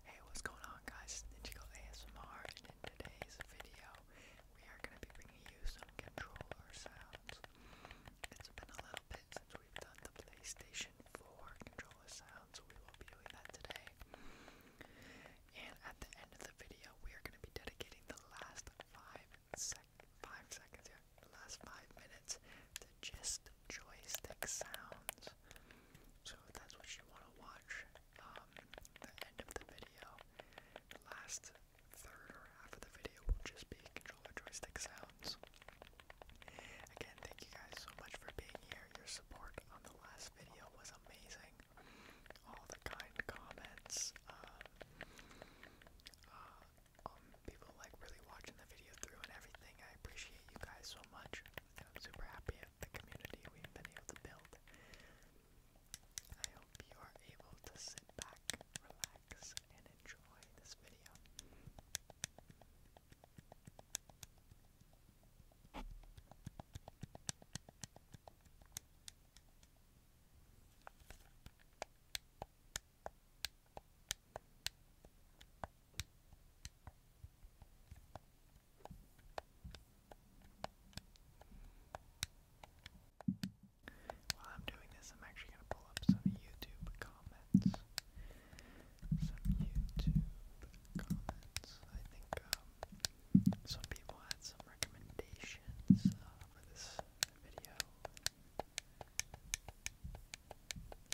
Hey, what's going on guys? It's Ninjago ASMR and in today's video we are going to be bringing you some controller sounds. It's been a little bit since we've done the PlayStation 4 controller sounds, so we will be doing that today. And at the end of the video we are going to be dedicating the last 5 sec 5 seconds, yeah, the last 5 minutes to just joystick sounds. So if that's what you want to watch, um, the end of the video, last third or half of the video will just be controller joystick sounds. Again, thank you guys so much for being here. Your support on the last video was amazing. All the kind comments. Um, uh, um, people like really watching the video through and everything. I appreciate you guys so much. I'm super happy at the community we've been able to build. I hope you are able to sit back, relax, and enjoy this video. While I'm doing this, I'm actually going to pull up some YouTube comments. Some YouTube comments. I think um, some people had some recommendations uh, for this video.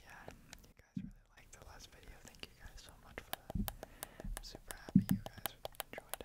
Yeah, you guys really liked the last video. Thank you guys so much for that. I'm super happy you guys enjoyed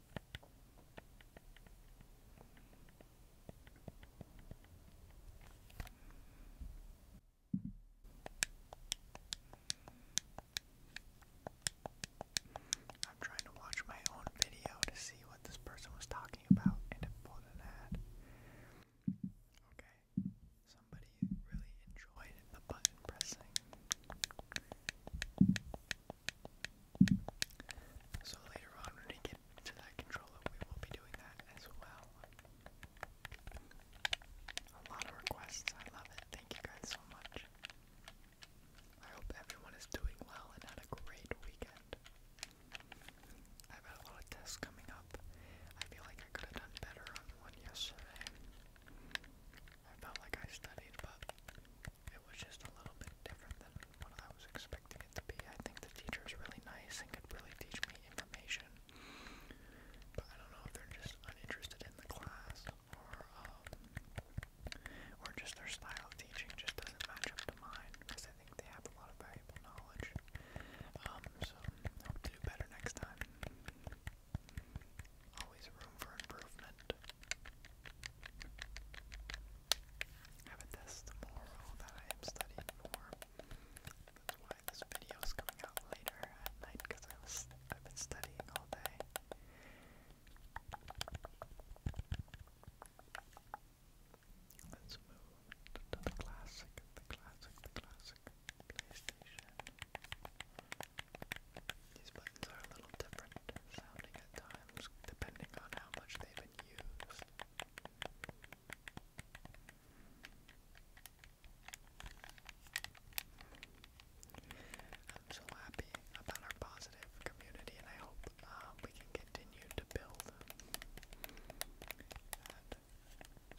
I'm trying to watch my own video to see what this person was talking about and it pulled an ad. Okay. Somebody really enjoyed the button pressing. So later on when we get to that controller we will be doing that as well. A lot of requests, I love it. Thank you guys so much. I hope everyone is doing well and had a great weekend. I've had a lot of tests coming up. I feel like I could have done better on one yesterday. I felt like I studied, but it was just a little bit different than what I was expecting it to be. I think the teacher is really nice and could really teach me information, but I don't know if they're just uninterested in the class or um, or just their style of teaching just doesn't match up to mine because I think they have a lot of valuable knowledge. Um, so hope to do better next time. Always room for improvement. I have a test tomorrow that I am studying for. That's why this video is coming out later at night because I was I've been studying all day. Let's move to the classic, the classic, the classic PlayStation. These buttons are a little different sounding at times, depending on how much they've been used. I'm so happy about our positive community, and I hope um, we can continue to build.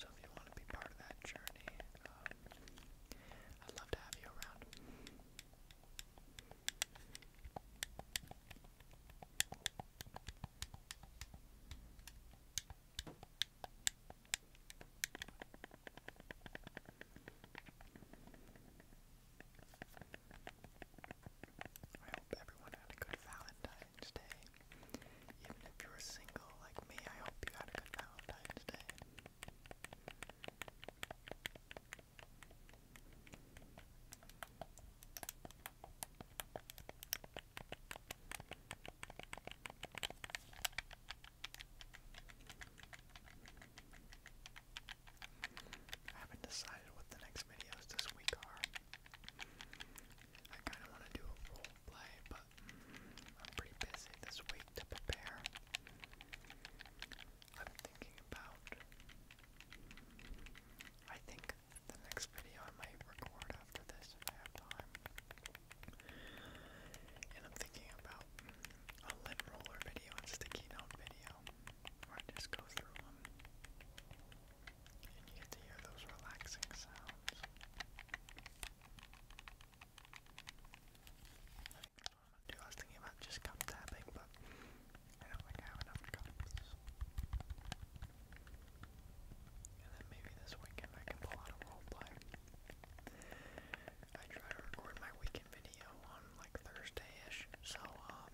so, if you want to be part of that journey, um, I'd love to have you around. I hope everyone had a good Valentine's Day. Even if you were single like me, I hope you had a good Valentine's Day. I haven't decided what the next videos this week are. I kind of want to do a role play, but I'm pretty busy this week to prepare. I'm thinking about. I think the next video I might record after this if I have time. And I'm thinking about a lint roller video and sticky note video where I just go through them and get to hear those relaxing sounds i was thinking about just cup tapping, but I don't think I have enough cups. And then maybe this weekend I can pull out a roleplay. I try to record my weekend video on like Thursday-ish, so um,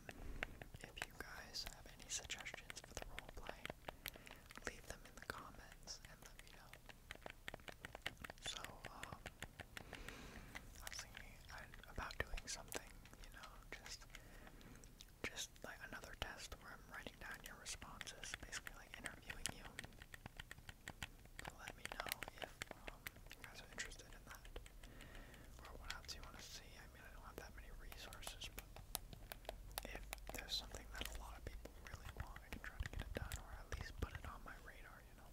if you guys have any suggestions for the roleplay, leave them in the comments and let me know. So um, I was thinking about doing something, you know, just just like another test where I'm writing down your responses, basically like interviewing you. let me know if um, you guys are interested in that, or what else you want to see. I mean, I don't have that many resources, but if there's something that a lot of people really want, I can try to get it done, or at least put it on my radar, you know.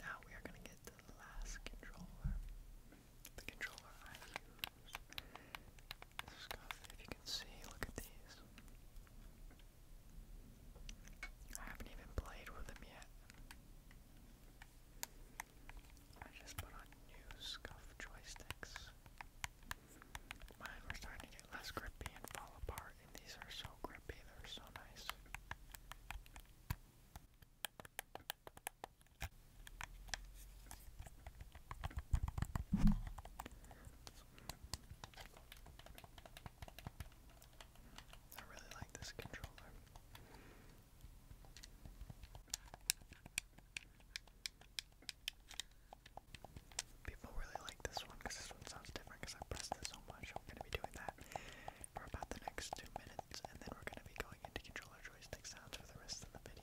Now we are going to get to the last controller. The controller I use. Scuff, if you can see, look at these. I haven't even played with them yet. I just put on new scuff joysticks. Mine were starting to get less grippy and fall apart, and these are so grippy, they're so nice. I really like this controller. People really like this one because this one sounds different because I pressed it so much. I'm going to be doing that for about the next two minutes, and then we're going to be going into controller joystick sounds for the rest of the video.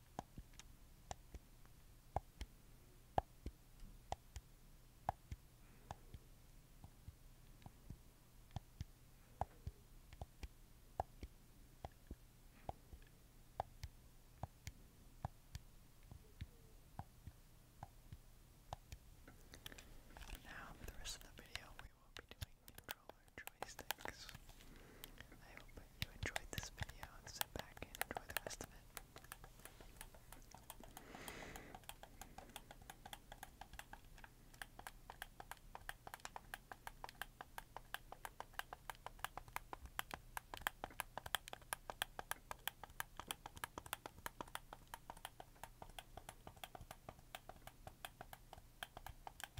Now for the rest of the video we will be doing control I hope you enjoyed this video and sit back and enjoy the rest of it.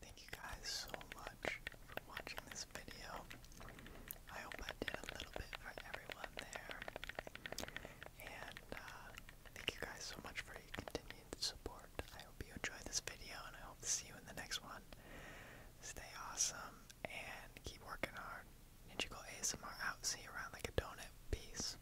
Thank you guys so much for watching this video. I hope I did a little bit for everyone there. And uh, thank you guys so much for your continued support. I hope you enjoyed this video and I hope to see you in the next one. Stay awesome and keep working hard. Ninjago ASMR out. See you around like a donut. Peace.